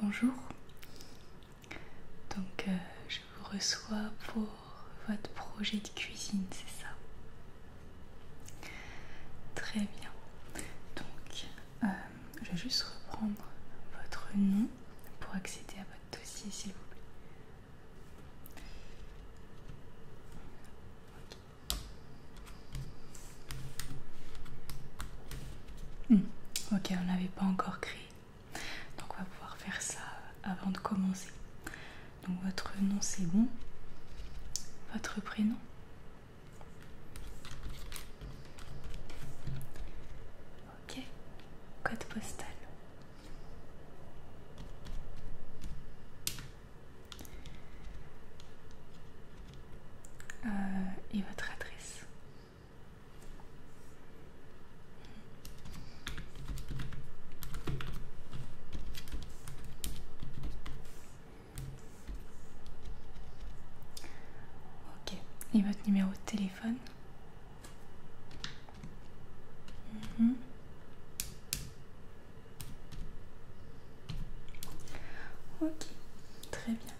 Bonjour, donc euh, je vous reçois pour votre projet de cuisine, c'est ça Très bien, donc euh, je vais juste reprendre votre nom pour accéder à votre dossier s'il vous plaît. Hmm. Ok, on n'avait pas encore créé. Donc on va pouvoir faire ça euh, avant de commencer. Donc votre nom c'est bon. Votre prénom. Ok. Code postal. Euh, et votre adresse. Ok, et votre numéro de téléphone. Mhm. Ok, très bien.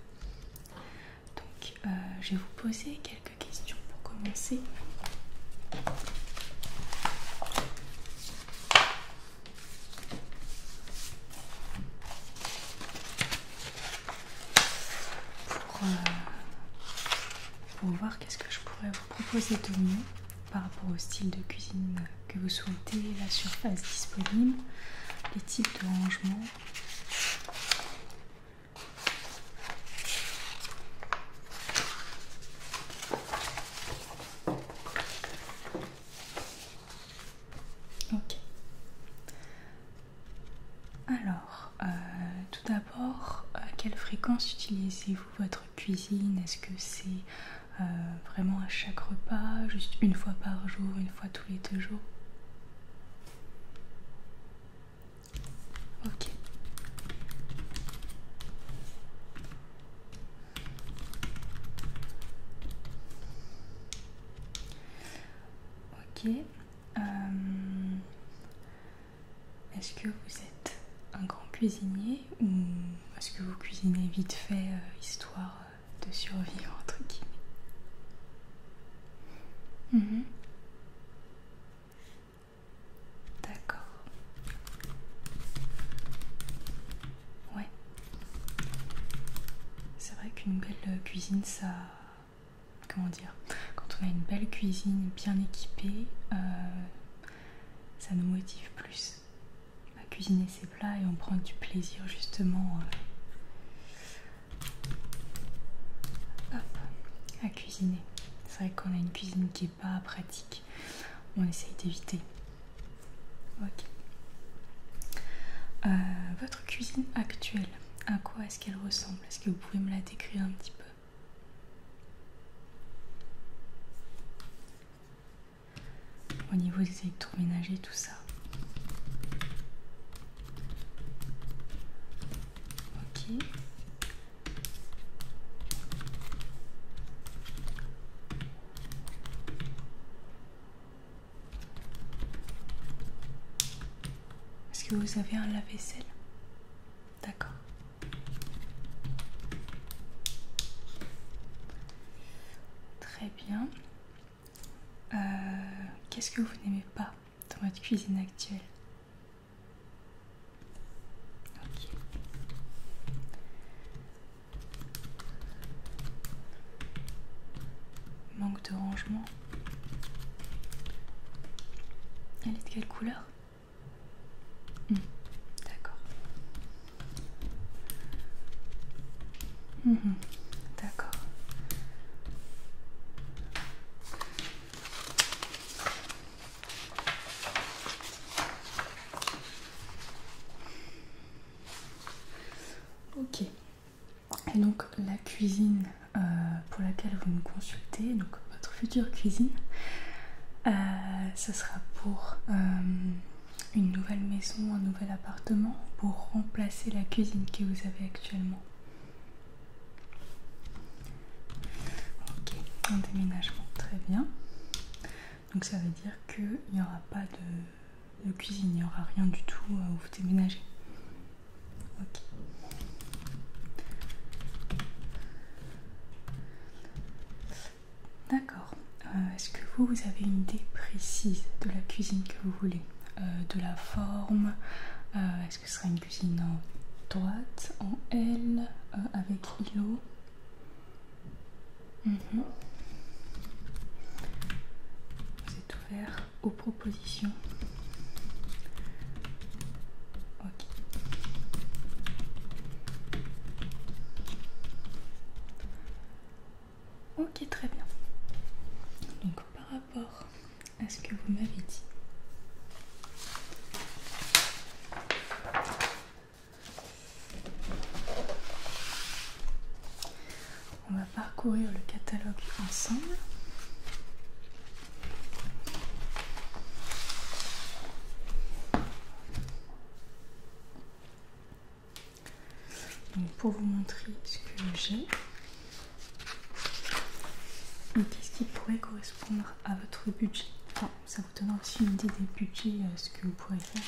Donc, euh, je vais vous poser quelques questions pour commencer. Pour, euh, pour voir qu'est-ce que je pourrais vous proposer de mieux par rapport au style de cuisine euh, que vous souhaitez, la surface disponible, les types de rangement. Ok. Alors, euh, tout d'abord, à quelle fréquence utilisez-vous votre cuisine Est-ce que c'est euh, vraiment à chaque repas, juste une fois par jour, une fois tous les deux jours. Ok. Ok. Euh, est-ce que vous êtes un grand cuisinier ou est-ce que vous cuisinez vite fait, euh, histoire de survivre entre guillemets. Mhm. D'accord. Ouais. C'est vrai qu'une belle cuisine, ça... Comment dire Quand on a une belle cuisine bien équipée, euh, ça nous motive plus à cuisiner ses plats et on prend du plaisir justement euh, à cuisiner. C'est vrai qu'on a une cuisine qui n'est pas pratique, on essaye d'éviter. Ok. Euh, votre cuisine actuelle, à quoi est-ce qu'elle ressemble Est-ce que vous pouvez me la décrire un petit peu au niveau des électroménagers, tout ça. Ok. Est-ce que vous avez un lave-vaisselle D'accord. Très bien. Euh, qu'est-ce que vous n'aimez pas dans votre cuisine actuelle Manque de rangement. Elle est de quelle couleur hmm, D'accord. Mhm. D'accord. Ok. Et donc la cuisine euh, pour laquelle vous me consultez, donc votre future cuisine, euh, ce sera pour... Euh, une nouvelle maison, un nouvel appartement pour remplacer la cuisine que vous avez actuellement. Ok, un déménagement, très bien. Donc ça veut dire qu'il n'y aura pas de, cuisine, il n'y aura rien du tout où vous déménagez. Ok. D'accord. Euh, est-ce que vous, avez une idée précise de la cuisine que vous voulez euh, De la forme euh, Est-ce que ce sera une cuisine en droite, en L, avec îlot mhm. Vous êtes ouvert aux propositions Ok. Ok, très bien. Donc par rapport à ce que vous m'avez dit, on va parcourir le catalogue ensemble pour vous montrer ce que j'ai, qu'est-ce qui pourrait correspondre à votre budget Ça vous donnera aussi une idée des budgets, euh, ce que vous pourrez faire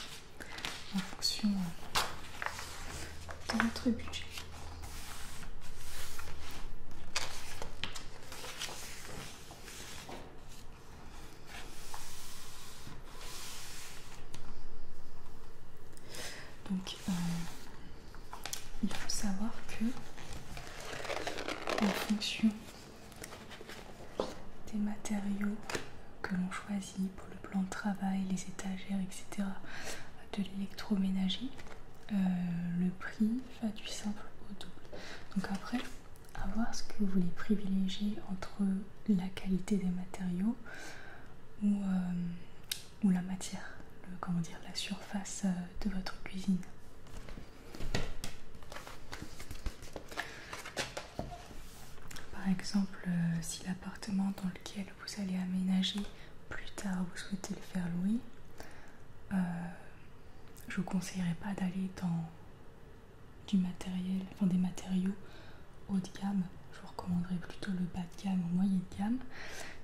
en fonction euh, de votre budget. Donc, euh, il faut savoir que en fonction des matériaux que l'on choisit pour le plan de travail, les étagères, etc., de l'électroménager, euh, le prix va du simple au double. Donc après, à voir ce que vous voulez privilégier entre la qualité des matériaux euh, ou, la matière, comment dire, la surface euh, de votre cuisine. Par exemple, euh, si l'appartement dans lequel vous allez aménager plus tard vous souhaitez le faire louer, je je vous conseillerais pas d'aller dans du matériel, enfin des matériaux haut de gamme, je vous recommanderais plutôt le bas de gamme ou moyen de gamme.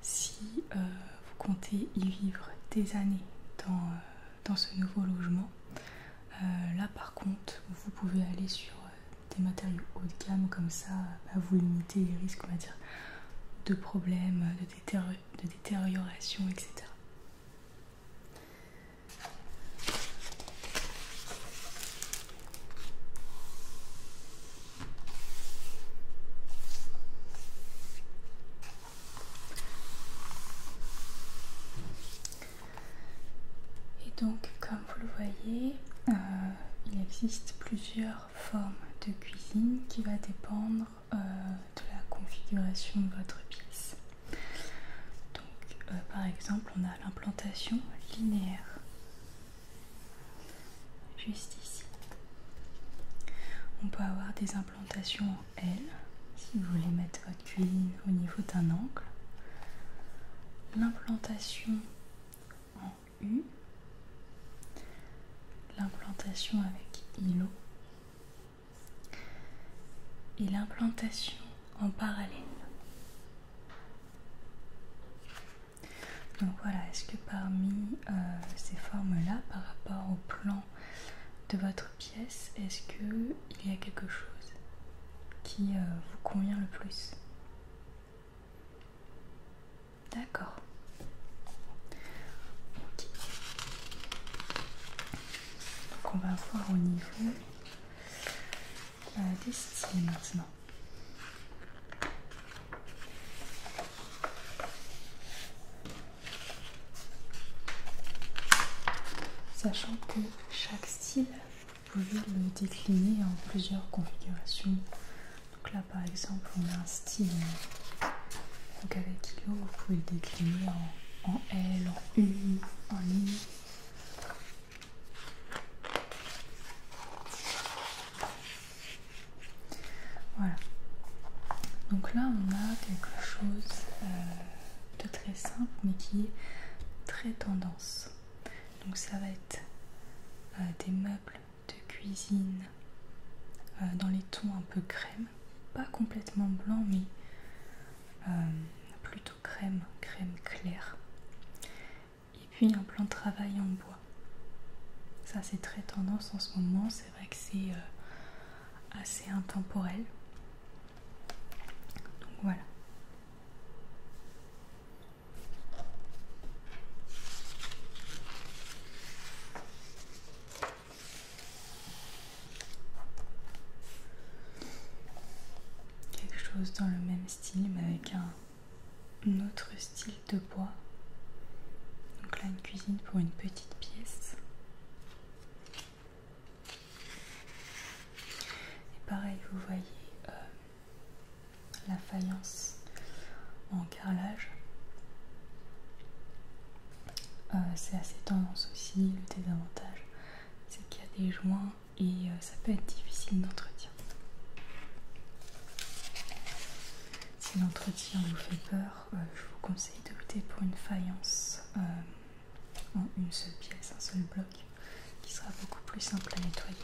Si euh, vous comptez y vivre des années dans, euh, ce nouveau logement, euh, là par contre, vous pouvez aller sur des matériaux haut de gamme, comme ça vous limitez les risques on va dire, de problèmes, de, de détérioration, etc. Et donc, comme vous le voyez, euh, il existe plusieurs formes de cuisine qui va dépendre euh, de la configuration de votre pièce. Donc, euh, par exemple, on a l'implantation linéaire juste ici. On peut avoir des implantations en L si vous voulez mettre votre culine au niveau d'un angle. L'implantation en U. L'implantation avec îlot. Et l'implantation en parallèle. Donc voilà, est-ce que parmi euh, ces formes-là, par rapport au plan de votre pièce, est-ce qu'il y a quelque chose qui euh, vous convient le plus D'accord. Donc on va voir au niveau des styles maintenant. Sachant que chaque style, vous pouvez le décliner en plusieurs configurations. Donc là par exemple on a un style donc avec Yo, vous pouvez le décliner en, L, en U, en I. Voilà. Donc là, on a quelque chose euh, de très simple, mais qui est très tendance. Donc ça va être euh, des meubles de cuisine euh, dans les tons un peu crème, pas complètement blanc, mais plutôt crème, crème claire et puis un plan de travail en bois. Ça c'est très tendance en ce moment, c'est vrai que c'est euh, assez intemporel. Donc voilà. Quelque chose dans le même style mais avec un notre style de bois. Donc là, une cuisine pour une petite pièce. Et pareil, vous voyez euh, la faïence en carrelage. Euh, c'est assez tendance aussi, le désavantage, c'est qu'il y a des joints et euh, ça peut être difficile d'entretien. Si l'entretien vous fait peur, euh, je vous conseille de pour une faïence euh, en une seule pièce, un seul bloc, qui sera beaucoup plus simple à nettoyer.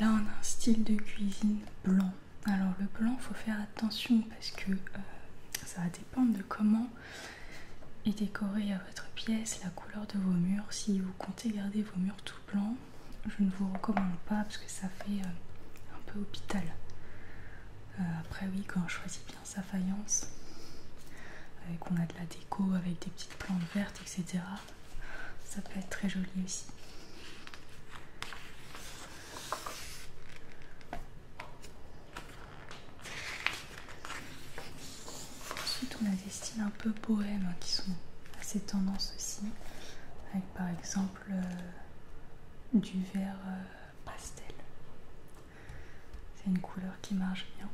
Là on a un style de cuisine blanc. Alors le blanc faut faire attention parce que ça va dépend de comment est décorée à votre pièce, la couleur de vos murs. Si vous comptez garder vos murs tout blancs, je ne vous recommande pas parce que ça fait euh, un peu hôpital. Euh, après oui, quand on choisit bien sa faïence, avec qu'on a de la déco avec des petites plantes vertes, etc., ça peut être très joli aussi. Ensuite, on a des styles un peu poèmes hein, qui sont assez tendance aussi, avec par exemple euh, du vert euh, pastel. C'est une couleur qui marche bien.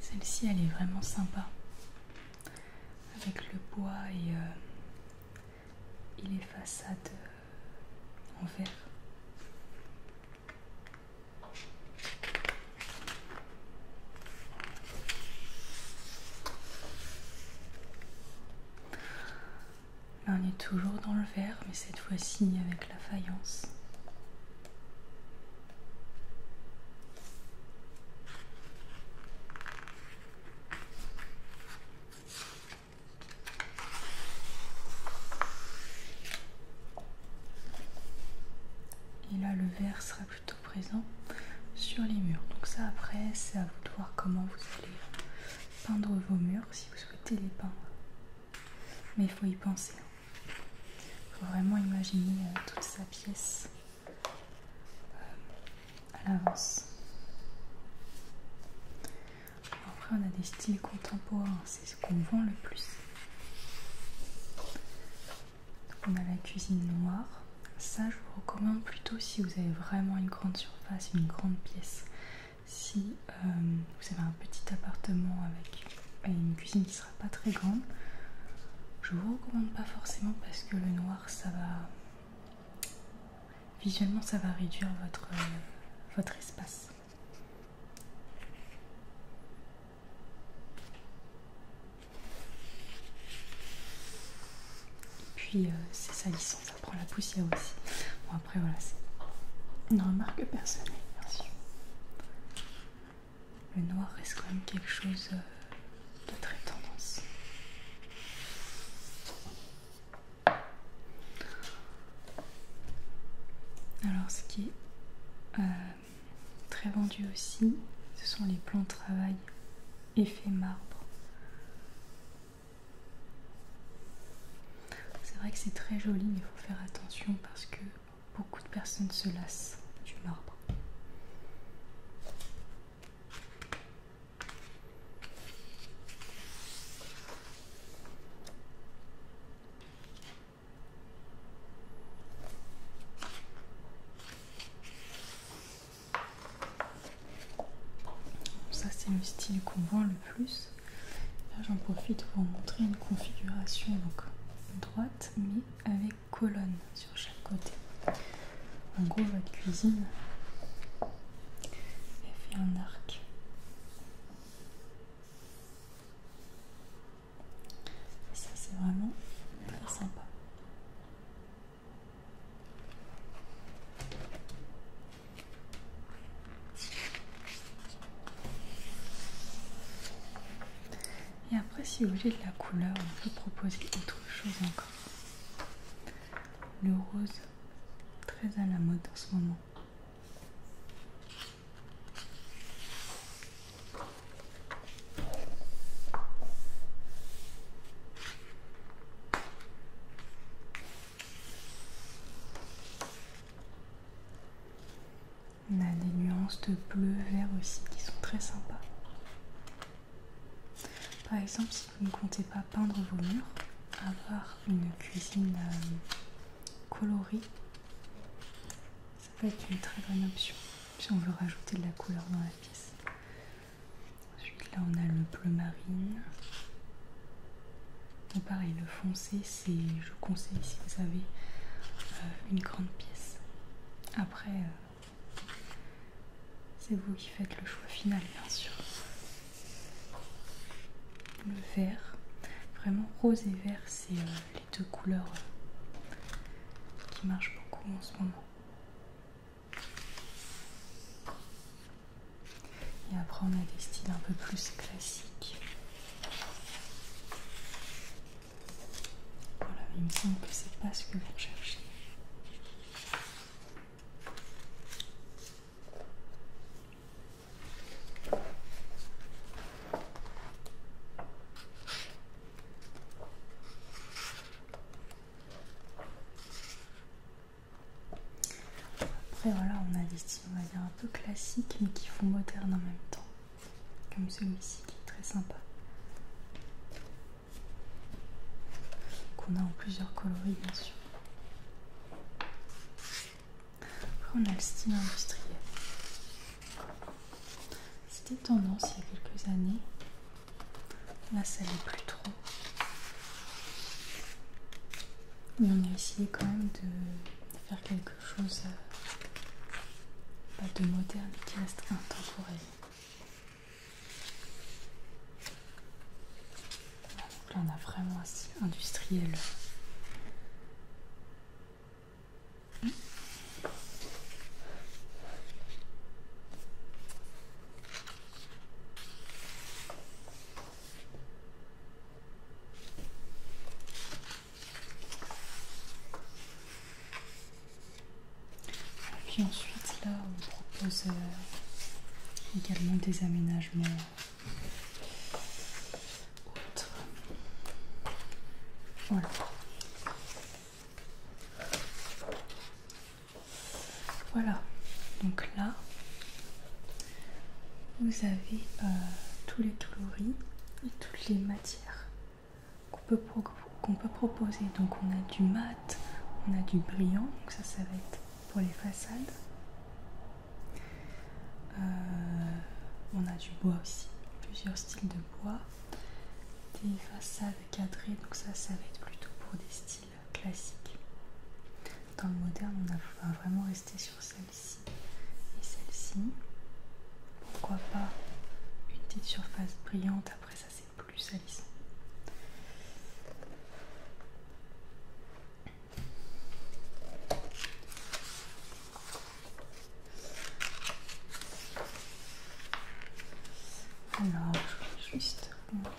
Celle-ci, elle est vraiment sympa. Avec le bois et, euh, les façades euh, en verre. on est toujours dans le verre, mais cette fois-ci avec la faïence. Et là, le vert sera plutôt présent sur les murs. Donc ça, après, c'est à vous de voir comment vous allez peindre vos murs si vous souhaitez les peindre. Mais il faut y penser. Hein. Il faut vraiment imaginer euh, toute sa pièce euh, à l'avance. Après, on a des styles contemporains, c'est ce qu'on vend le plus. on a la cuisine noire. Ça, je vous recommande plutôt si vous avez vraiment une grande surface, une grande pièce si euh, vous avez un petit appartement avec une cuisine qui sera pas très grande, je vous recommande pas forcément parce que le noir ça va visuellement ça va réduire votre, euh, votre espace. Et puis euh, c'est salissant, ça prend la poussière aussi après, voilà, c'est une remarque personnelle, bien sûr. Le noir reste quand même quelque chose euh, de très tendance. Alors, ce qui est euh, très vendu aussi, ce sont les plans de travail effet marbre. C'est vrai que c'est très joli, mais il faut faire attention parce que beaucoup de personnes se lassent du marbre. Ça c'est le style qu'on voit, plus. Là j'en profite pour montrer une configuration donc, droite mais avec colonne sur chaque côté. En gros la cuisine fait un arc. Et ça c'est vraiment sympa. Et après, si vous voulez de la couleur, on peut proposer autre chose encore. Le rose, très à la mode en ce moment. On a des nuances de bleu, vert aussi qui sont très sympas. Par exemple, si vous ne comptez pas peindre vos murs, avoir une cuisine euh, colorée, ça peut être une très bonne option si on veut rajouter de la couleur dans la pièce. Ensuite, là, on a le bleu marine. Et pareil, le foncé, je conseille si vous avez euh, une grande pièce. Après, euh, c'est vous qui faites le choix final, bien sûr. Le vert, vraiment rose et vert, c'est euh, les deux couleurs qui marchent beaucoup en ce moment. Et après, on a des styles un peu plus classiques. Voilà, il me semble que c'est pas ce que vous cherchez. Après voilà, on a des on va dire un peu classique mais qui font moderne en même temps. Comme celui-ci qui est très sympa. Qu'on a en plusieurs coloris bien sûr. Après on a le style industriel. C'était tendance il y a quelques années. Là ça n'est plus trop. Mais on a essayé quand même de faire quelque chose chose euh, de moderne qui reste intemporel. donc là on a vraiment un style industriel. Puis ensuite, là, on propose euh, également des aménagements autres. Voilà. Voilà. Donc là, vous avez euh, tous les coloris et toutes les matières qu'on peut, proposer. Donc on a du mat, on a du brillant, donc ça ça va être pour les façades. Euh, on a du bois aussi, plusieurs styles de bois. Des façades cadrées, donc ça ça va être plutôt pour des styles classiques. Dans le moderne, on a vraiment rester sur celle et celle-ci. Pourquoi pas une petite surface brillante, après ça c'est plus salissant. Alors, je vais juste montrer.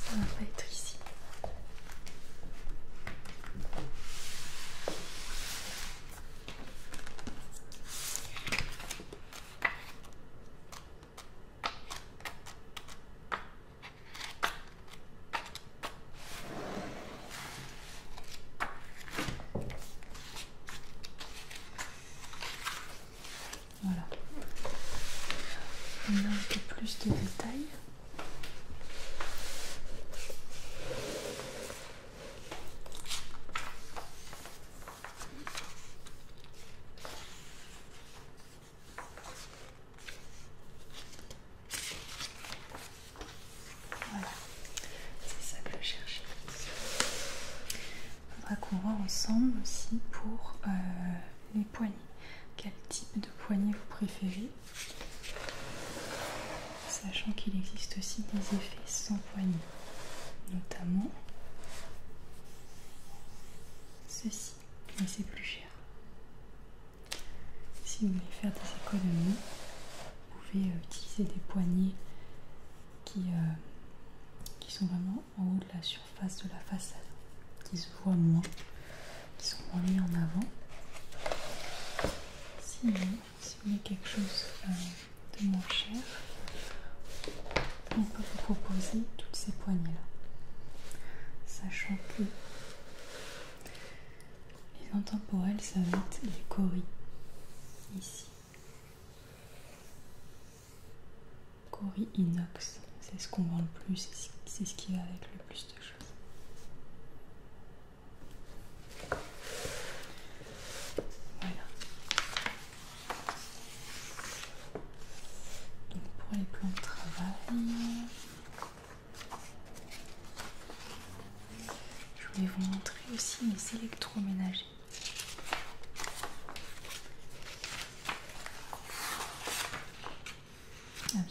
Ça va pas être ici. Voilà. On a un peu plus de détails. Voilà. C'est ça que je cherche. Il faudra qu'on voit ensemble aussi pour euh, les poignées. Quel type de poignée vous préférez Sachant qu'il existe aussi des effets sans poignée, notamment ceci, mais c'est plus cher. Si vous voulez faire des économies, vous pouvez euh, utiliser des poignées qui, euh, qui sont vraiment en haut de la surface de la façade, qui se voient moins, qui sont moins en avant. si vous voulez quelque chose euh, de moins cher, on peut vous proposer toutes ces poignées-là. Sachant que les intemporelles, ça va être les coris ici. Cori inox, c'est ce qu'on vend le plus, c'est ce qui va avec le plus de choses. Voilà. Donc pour les plans de travail, je vais vous montrer aussi mes électroménagers. Ah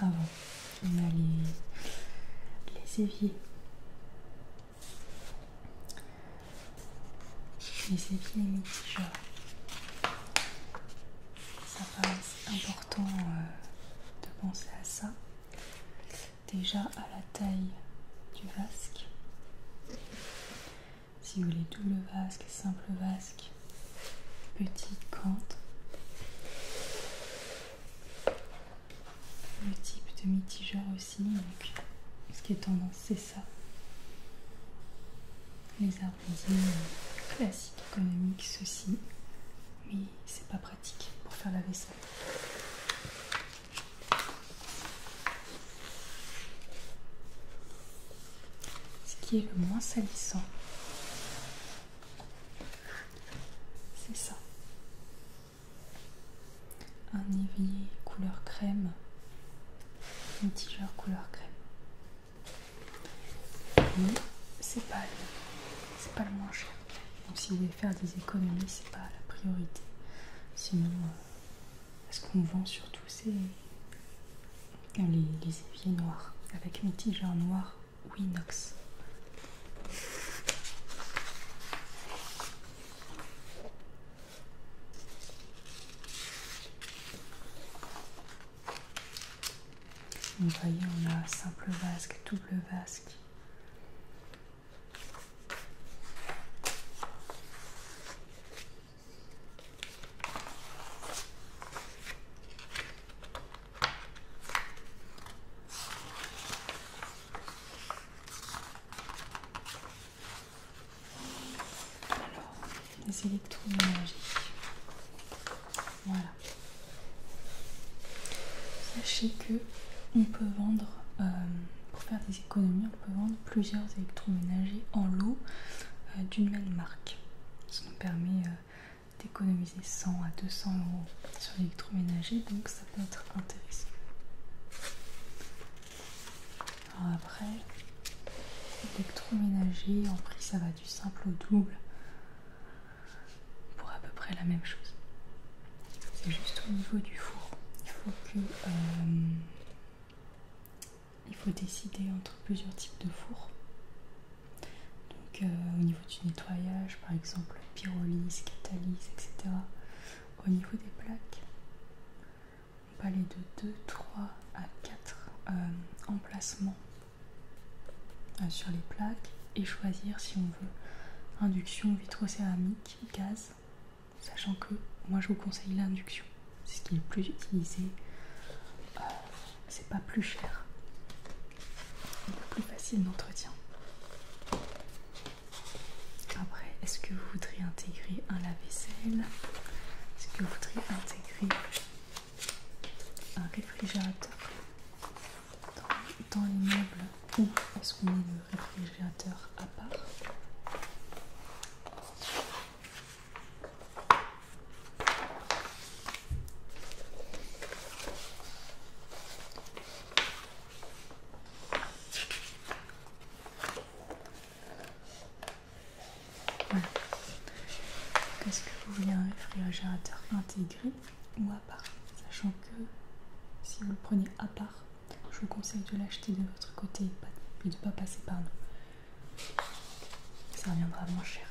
avant ah on a les, les éviers. Les éviers Ça paraît important euh, de penser à ça déjà à la taille du vasque. Si vous voulez double vasque, simple vasque, petit cante, le type de mitigeur aussi, ce qui est tendance c'est ça. Les arrondis euh, classiques économiques, ceci, mais c'est pas pratique pour faire la vaisselle. Ce qui est le moins salissant, c'est ça. Un évier couleur crème, un tigeur couleur crème. c'est pas, pas le moins cher. Donc si vous voulez faire des économies, c'est pas la priorité. Sinon, euh, ce qu'on vend surtout, c'est euh, les, les éviers noirs, avec en noir ou inox. Vous voyez, on a simple vasque, double vasque, alors, les électroménagers. Voilà. Sachez que on peut vendre euh, pour faire économies, on peut vendre plusieurs électroménagers en lot euh, d'une même marque. Ça nous permet euh, d'économiser 100 à 200 euros sur l'électroménager, donc ça peut être intéressant. après, l'électroménager en prix ça va du simple au double pour à peu près la même chose. C'est juste au niveau du four. Il faut euh, faut décider entre plusieurs types de fours. Donc euh, au niveau du nettoyage, par exemple pyrolyse, catalyse, etc. Au niveau des plaques, on peut aller de 2, 3 à 4 euh, emplacements sur les plaques et choisir si on veut induction vitrocéramique, gaz, Sachant que moi je vous conseille l'induction, c'est ce qui est le plus utilisé, euh, c'est pas plus cher, peu plus facile d'entretien. Après, est-ce que vous voudriez intégrer un lave-vaisselle Est-ce que vous voudriez intégrer un réfrigérateur dans, les l'immeuble Ou est qu'on réfrigérateur à part. Est-ce que vous voulez un réfrigérateur intégré ou à part Sachant que si vous le prenez à part, je vous conseille de l'acheter de votre côté et de ne pas passer par nous. Ça reviendra moins cher.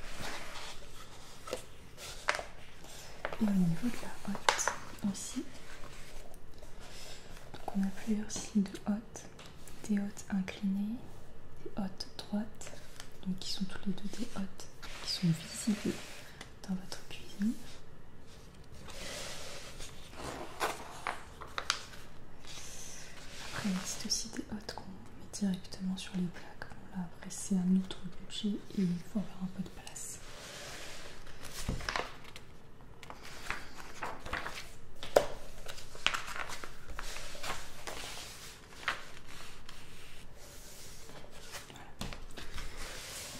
Et au niveau de la hotte aussi, donc on a plusieurs signes de hottes des hottes inclinées, des hottes droites, donc qui sont tous les deux des hottes qui sont visibles dans votre cuisine. Après, il existe aussi des hôtes qu'on met directement sur les plaques, bon là, après, c'est un autre objet et il faut avoir un peu de place.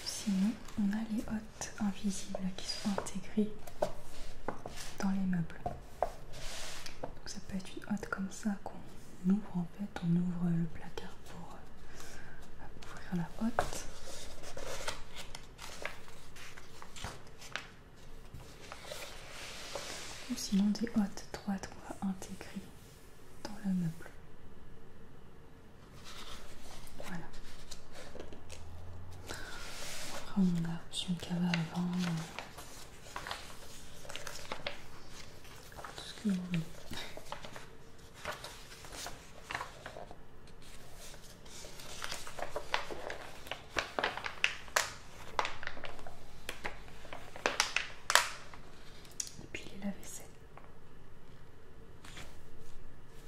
Sinon, on a les invisible invisibles qui sont intégrées dans les meubles. Donc ça peut être une hotte comme ça qu'on ouvre en fait, on ouvre le placard pour euh, ouvrir la hotte. Ou sinon des hottes droites qu'on va intégrer dans le meuble. Voilà. Après, on a reçu une avant. Euh, tout ce que vous voulez. Et puis les lave-vaisselle.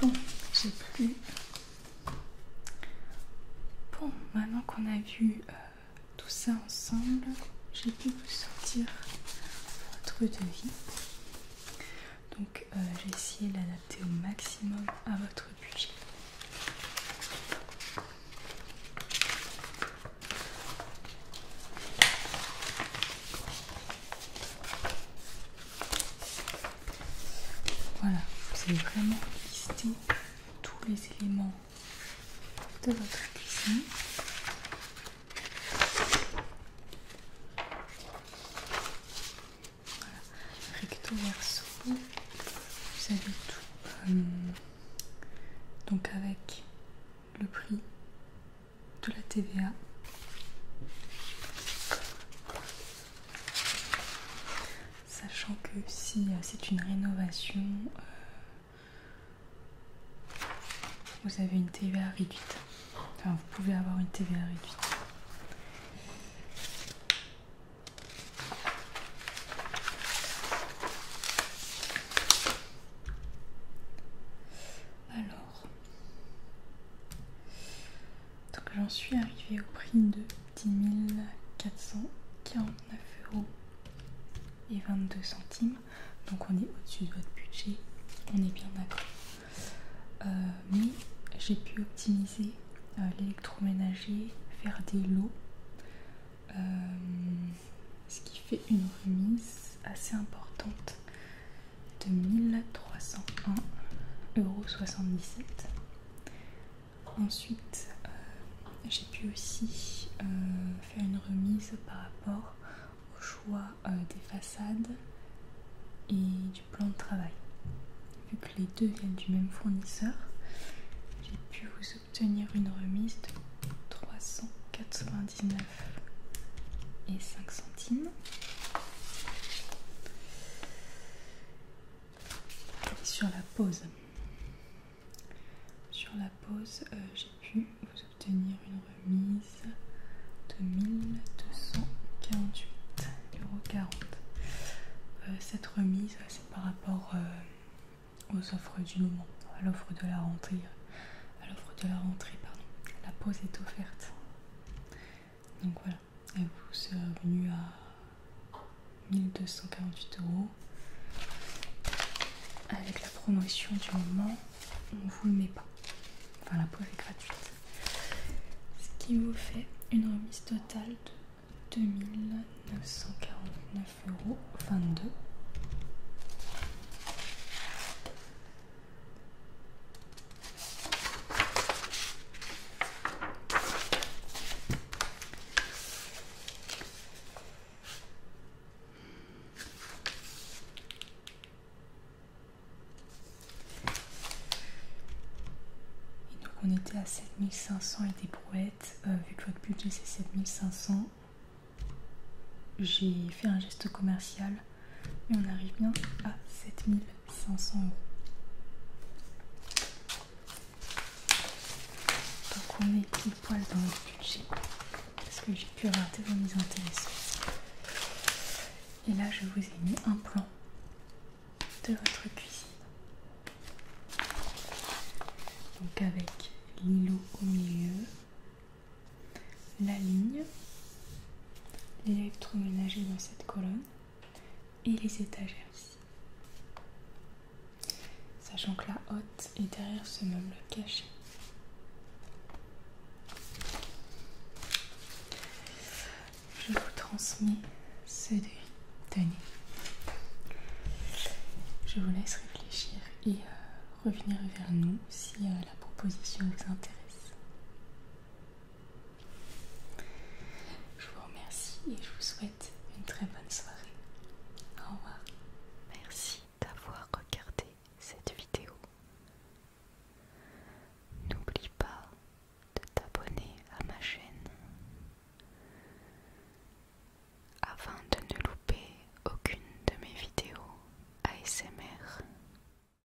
Bon, j'ai plus. Bon, maintenant qu'on a vu euh, tout ça ensemble, j'ai pu vous sortir votre devis. Donc, euh, j'ai essayé d'adapter au maximum à votre budget. Voilà, vous avez vraiment listé tous les éléments de votre cuisine. Voilà, recto verso, vous avez tout. Euh, donc avec le prix, de la TVA. Sachant que si euh, c'est une rénovation, euh, vous avez une TVA réduite. Enfin, vous pouvez avoir une TVA réduite. Alors, donc j'en suis arrivée au prix de 10 449 euros et 22 centimes. Donc on est au-dessus de votre budget, on est bien d'accord. Euh, mais j'ai pu optimiser euh, l'électroménager, faire des lots, euh, ce qui fait une remise assez importante de euros Ensuite, euh, j'ai pu aussi euh, faire une remise par rapport au choix euh, des façades et du plan de travail. Vu que les deux viennent du même fournisseur, j'ai pu vous obtenir une remise de 399 et 5 centimes sur la pause, sur la pause, euh, j'ai pu vous obtenir une remise de 1248,40€. euros euh, cette remise, c'est par rapport euh, aux offres du moment, à l'offre de la rentrée, à l'offre de la rentrée, pardon. La pause est offerte. Donc voilà, elle vous est revenu à 1248 euros. Avec la promotion du moment, on vous le met pas. Enfin, la preuve est gratuite. Ce qui vous fait une remise totale de 2949 euros 22. Et donc on était à 7500 et des brouettes, euh, vu que votre budget c'est 7500. J'ai fait un geste commercial et on arrive bien à 7500 euros. Donc on est pile poil dans le budget parce que j'ai pu rater vos mises intéressantes. Et là je vous ai mis un plan de votre cuisine. Donc avec l'îlot au milieu, la ligne, l'électroménager dans cette colonne et les étagères ici. Sachant que la haute est derrière ce meuble caché. Je vous transmets ce devis. Je vous laisse réfléchir et euh, revenir vers nous si euh, la proposition vous intéresse. Je vous remercie et je vous souhaite une très bonne soirée. Au revoir. Merci d'avoir regardé cette vidéo. N'oublie pas de t'abonner à ma chaîne afin de ne louper aucune de mes vidéos ASMR.